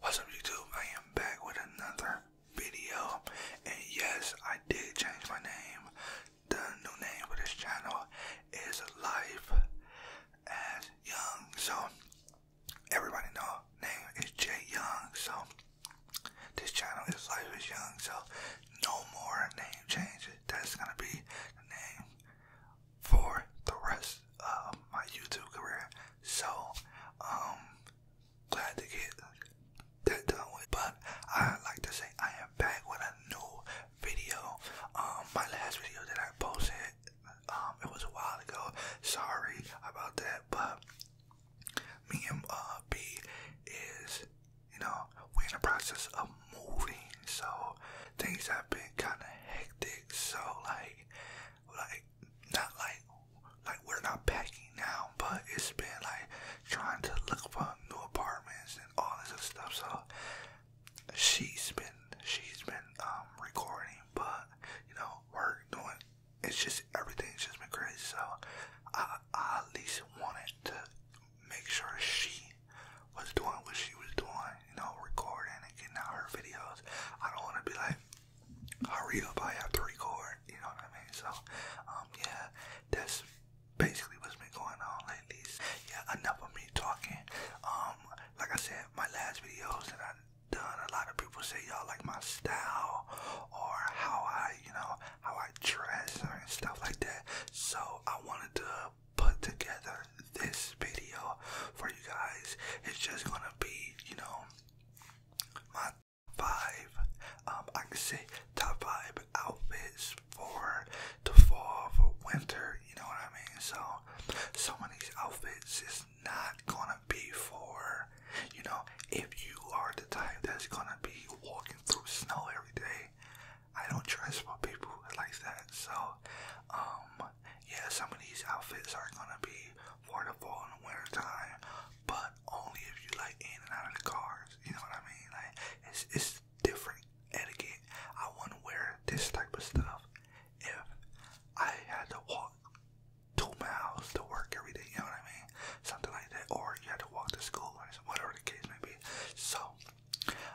What's up YouTube? I am back with another video and yes I did change my name. The new name for this channel is Life as Young. So everybody know name is Jay Young, so this channel is Life is Young, so no more name changes. That's gonna be the name for the rest of my YouTube career. So, um, glad to get that done with. But I like to say I am back with a new video. Um, my last video that I posted, um, it was a while ago. Sorry about that, but me and uh, B is, you know, we in the process of moving, so things have been kind of hectic. So like, like not like like we're not packing now, but it's been like trying to look for new apartments and all this stuff. So she's been she's been um recording, but you know, work doing it's just everything's just been crazy. So I, I at least wanted to make sure she was doing what she was doing, you know, recording and getting out her videos. I don't want to be like, hurry up, I have to record, you know what I mean? So, um, yeah, that's basically what's been going on lately. Yeah, enough of me talking. Um, like I said, my last videos that I done. A lot of people say y'all like my style or how I, you know, how I dress and stuff like that. So I wanted to put together this video for you guys. It's just gonna be, you know, my five, um, I can say top five outfits for the fall, for winter, you know what I mean? So, so many outfits, is not gonna be for, you know, if you are the type that's gonna be walking through snow every day. I don't dress for people like that. So, um, yeah, some of these outfits are gonna be for the fall and the winter time, but only if you like in and out of the cars. You know what I mean? Like, it's it's different etiquette. I wanna wear this type of stuff if I had to walk two miles to work every day, you know what I mean? Something like that. Or you had to walk to school or whatever the case may be. So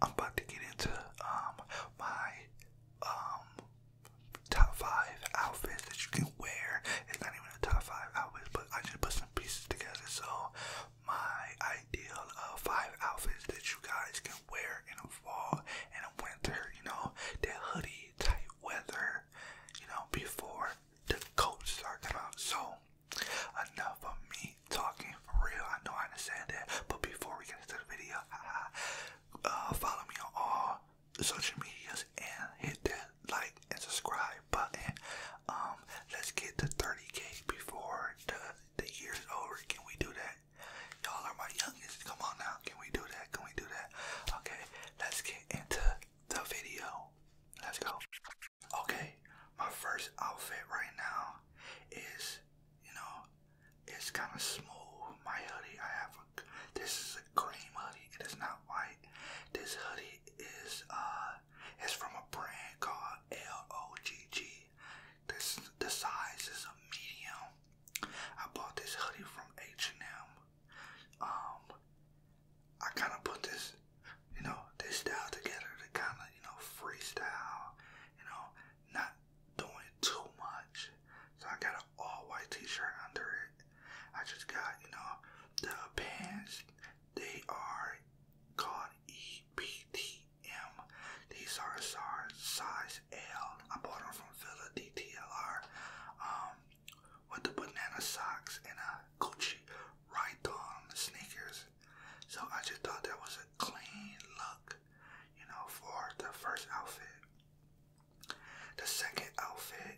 I'm about to get into um my um top five outfits that you can wear. It's not even a top five outfits, but I just put some pieces together. So my ideal of five outfits that you guys can wear in the fall and the winter, you know, that hoodie rainy weather, you know, before the cold starts coming out. So, enough of me talking for real. I know I understand that, but before we get into the video, uh, follow me on all social medias and hit that like and subscribe button. Um, let's get to 30k before the the year's over. Can we do that? Y'all are my youngest. Come on now. Can we do that? Can we do that? Okay, let's get into the video. Let's go. Okay, my first outfit right now is, you know, it's kind of smooth. My hoodie, I have a, this is a cream hoodie. It is not white. This hoodie is, uh, it's from a brand called LOGG. This, the size is a medium. I bought this hoodie from H&M um, I kind of put this, you know, this style together to kind of, you know, freestyle, you know, not doing too much. So I got an all white t-shirt under it. I just got, you know, the pants. They are called These are size L. I bought them from Villa DTLR. Um, with the banana socks and a Gucci right on sneakers. So I just thought that was a clean look, you know, for the first outfit. The second outfit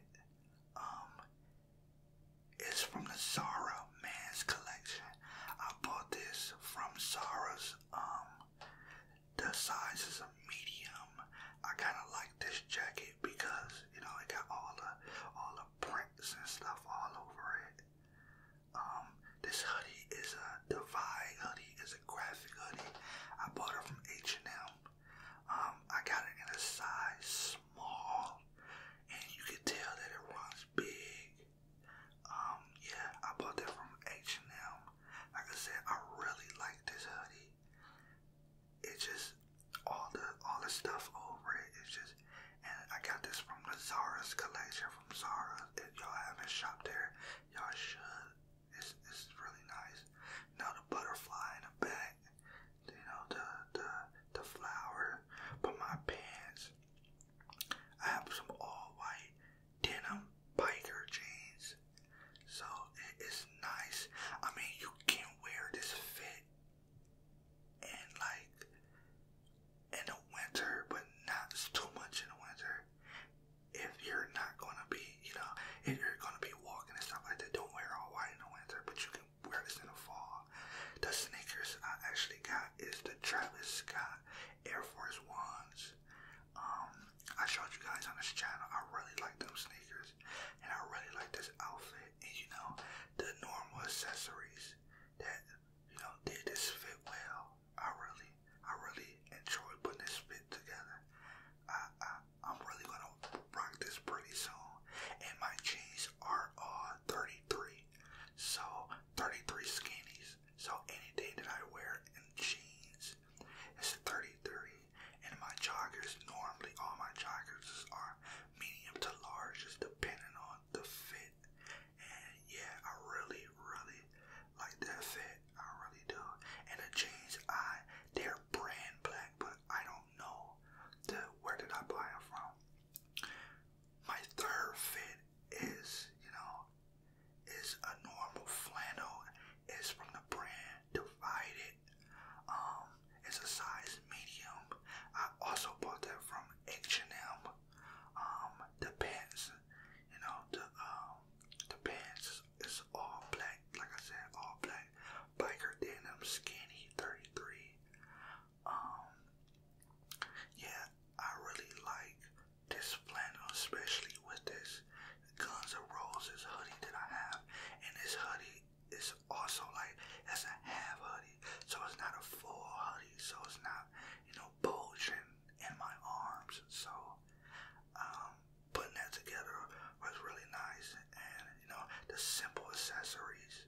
um, is from the Zara Man's Collection. I bought this from Zara's. Um, the sizes medium. I kind of like this jacket because you know it got all the all the prints and stuff all over it. Um, this hoodie is a Divide hoodie. It's a graphic hoodie. I bought it from H&M. I got it in a size small, and you can tell that it runs big. Um, yeah, I bought that from H&M. Like I said, I really like this hoodie. It's just all the all the stuff over it. It's just, and I got this from the Zara's collection from Zara. If y'all haven't shopped there, y'all should. It's it's really nice. Now the butterfly in the back. You know the the the flower. But my pants. I have some all white denim biker jeans. So it is nice. I mean, you can wear this fit in like in the winter, but not too much in the winter. If you're not gonna be, you know, if you're gonna be walking and stuff like that, don't wear all white in the winter. But you can wear this in the fall. The sneakers I actually got is the Travis Scott Air Force Ones. Um, I showed you guys on this channel. I really like them sneakers. And I really like this outfit and you know the normal accessories that you know did this fit well. I really I really enjoy putting this fit together. I I I'm really gonna rock this pretty soon. And my jeans are all 33. So 33 skinnies. So any day that I wear jeans is 33 and my joggers, normally all my joggers are medium to large, just depending on the fit. And yeah, I really, really like that fit. I really do. And the jeans, I they're brand black, but I don't know the where did I buy it from. My third fit is, you know, is a normal flannel. It's from the brand Divided. Um, it's a size medium. I also bought that from H&M. the pants, you know, the um, the pants is all black. Like I said, all black biker denim, skinny, 33. yeah, I really like this flannel, especially with this Guns N' Roses hoodie that I have, and this hoodie it's also like that's a half hoodie, so it's not a full hoodie, so it's not you know bulging in my arms. So um, putting that together was really nice, and you know the simple accessories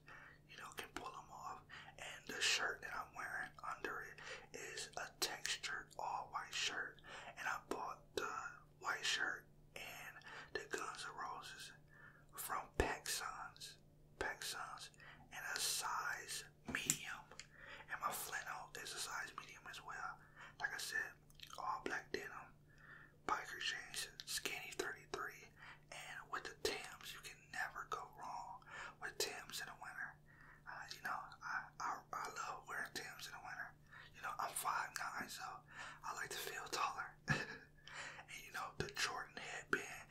you know can pull them off. And the shirt that I'm wearing under it is a textured all white shirt, and I bought the White Shirt, and the Guns N' Roses from PacSuns, PacSuns, and a size medium. And my flannel is a size medium as well. Like I said, all black denim, biker jeans, skinny 33, and with the Tims, you can never go wrong with Tims in the winter. Uh, you know, I I love wearing Tims in the winter. You know, I'm five nine, so I like to feel taller. and you know, the Jordan headband.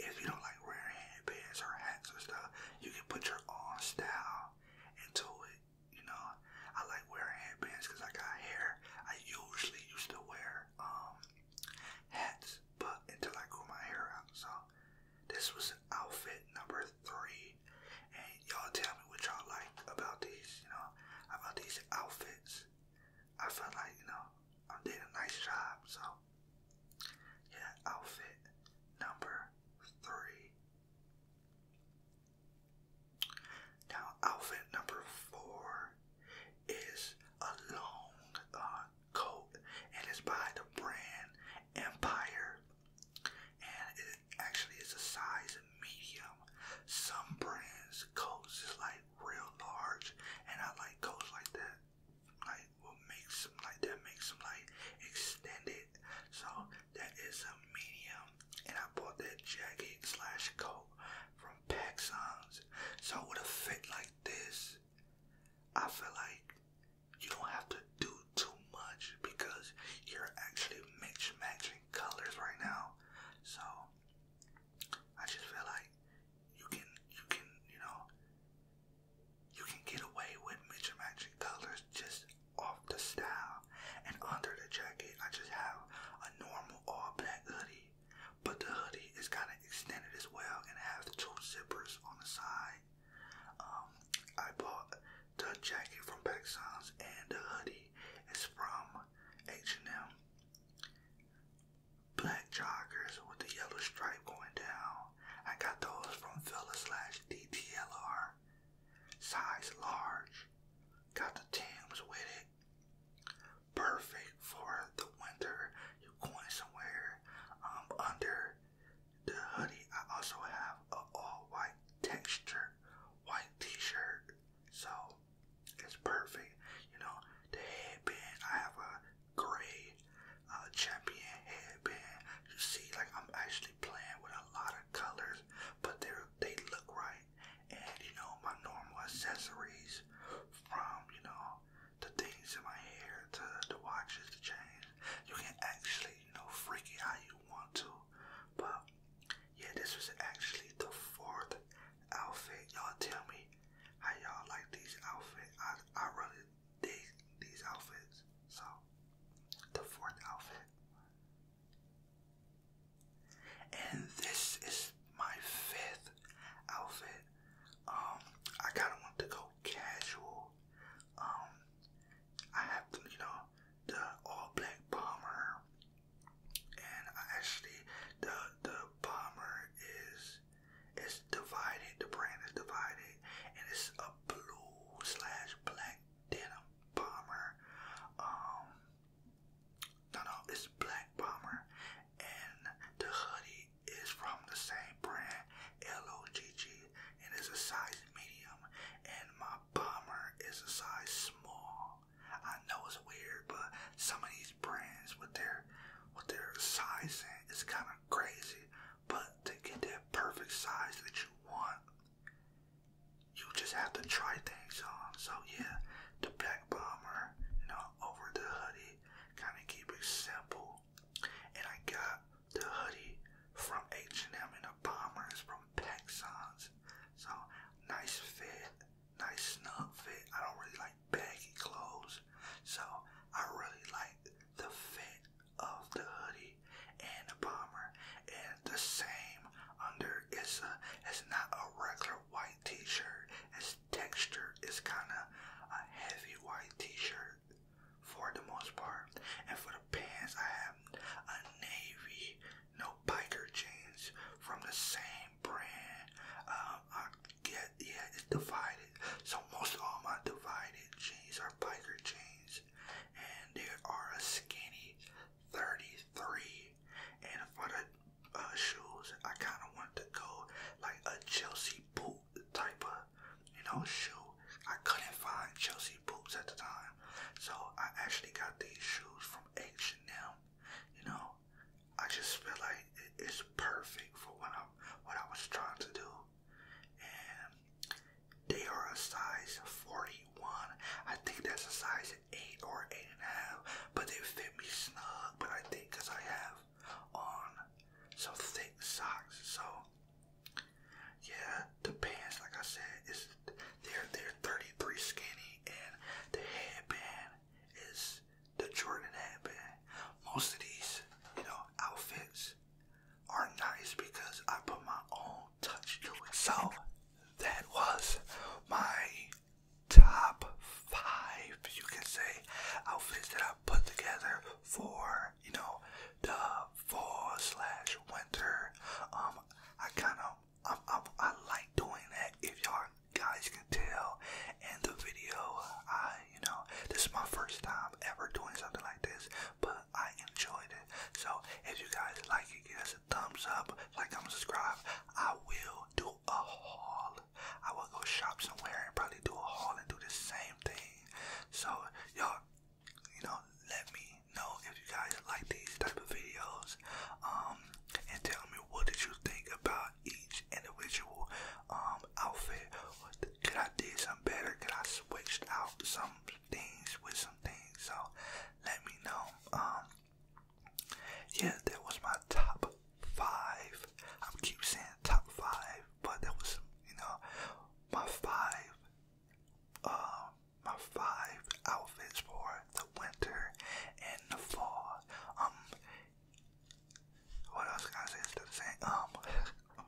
If you don't like wearing headbands or hats or stuff, you can put your own style into it. You know, I like wearing headbands because I got hair. I usually used to wear um, hats, but until I grew my hair out, so this was outfit number three. And y'all tell me what y'all like about these, you know, about these outfits. I felt like, you know, i did a nice job, so yeah, outfit number three. Now, outfit number four is a long uh, coat, and it's by the brand Empire, and it actually it's a size medium. Some brands coats is like real large, and I like coats like that. Like what makes them like that makes them like extended. So that is a medium, and I bought that jacket slash coat from Paxons. So with a fit like this, I feel like you don't have to do too much because you're actually mix matching colors right now. So I just feel like you can, you can, you know, you can get away with Mitchum colors just off the style. And under the jacket, I just have a normal all black hoodie, but the hoodie is kind of extended as well, and it has two zippers on the side. Um, I bought the jacket from Back and the hoodie is from H&M. Black joggers with the yellow stripe going down. I got those from Fella slash DTLR. Size large. Got the Timbs with it. Perfect for the winter. You're going somewhere. Um, under the hoodie, I also have a all white texture, white t shirt. So it's perfect. You know, the headband, I have a gray uh, champion headband. You see, like I'm actually playing with a lot of colors, but they they look right. And you know, my normal accessories from, you know, the things in my hair to the watches, the chains. You can actually, you know, freaky how you want to. But yeah, this was actually the fourth outfit. Y'all tell me how y'all like these outfit. I, I really dig these outfits. So, the fourth outfit. And this is my fifth outfit. Um, I kind of want to go casual. Um, I have, you know, the all black bomber and actually the the bomber is it's divided. The brand is divided, and it's a blue slash black denim bomber. Um, no, no, it's black bomber, and the hoodie is from the same brand, LOGG, and it's a size medium. And my bomber is a size small. I know it's weird, but some of these brands with their with their sizing is kind of crazy. But to get that perfect size that you want, you just have to try things on. So yeah, the black bomber, you know, over the hoodie, kind of keep it simple. And I got the hoodie from H&M and the bomber is from Pexons. So nice fit, nice snug fit. I don't really like baggy clothes, so I really like the fit of the hoodie and the bomber. And the same under is a it's not a regular white t-shirt. Its texture is kind of a heavy white t-shirt for the most part. And for the pants, I have a navy no biker jeans from the same brand. Um, I get, yeah, it's divided. So most all my divided jeans are biker jeans. And there are a skinny 33. And for the uh, shoes, I kind of want to go like a Chelsea boot type of, you know, shoe. I couldn't find Chelsea boots at the time. So I actually got these shoes from H&M. You know, I just feel like it's perfect for what i what I was trying to do. And they are a size 41. I think that's a size 8 or 8 and a half. But they fit me snug. But I think because I have on some thick socks. So, yeah, the pants, like I said, is they're they're 33 skinny, and the headband is the Jordan headband. Most of these, you know, outfits are nice because I put my own touch to it. So that was my top five, you can say, outfits that I put together for you know the fall slash winter. Um, I kind of I'm, i like doing that. If y'all guys can tell And the video, I, you know, this is my first time ever doing something like this, but I enjoyed it. So if you guys like it, give us a thumbs up, like, comment, subscribe. I will do a haul. I will go shop somewhere and probably do a haul and do the same thing. So y'all, you know, let me know if you guys like these type of videos. Um, and tell me what did you think about each individual um outfit. Could I did some better? Could I switched out some things with some things? So let me know. Um, yeah, that was my top five. I'm keep saying top five, but that was you know my five. Um, my five outfits for the winter and the fall. Um, what else can I the same. Um,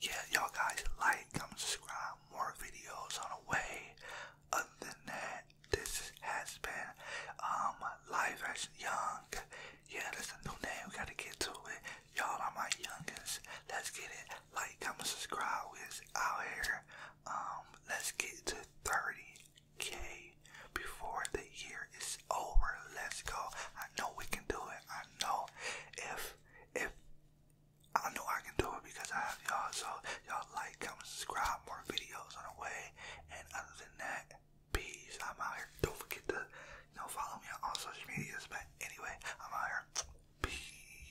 yeah, y'all guys like, comment, subscribe, more videos on the way. Other than that, this has been um live action young. Yeah, that's a new name. We gotta get to it. Y'all are my youngest. Let's get it. Like, comment, subscribe. We're out here. Um, let's get to 30k before the year is over. Let's go. I know we can do it. I know if if I know I can do it because I have y'all. So y'all like, comment, subscribe, more videos on the way. And other than that, peace. I'm out here. Don't forget to you know follow me on all social medias. But anyway, I'm out here. Peace.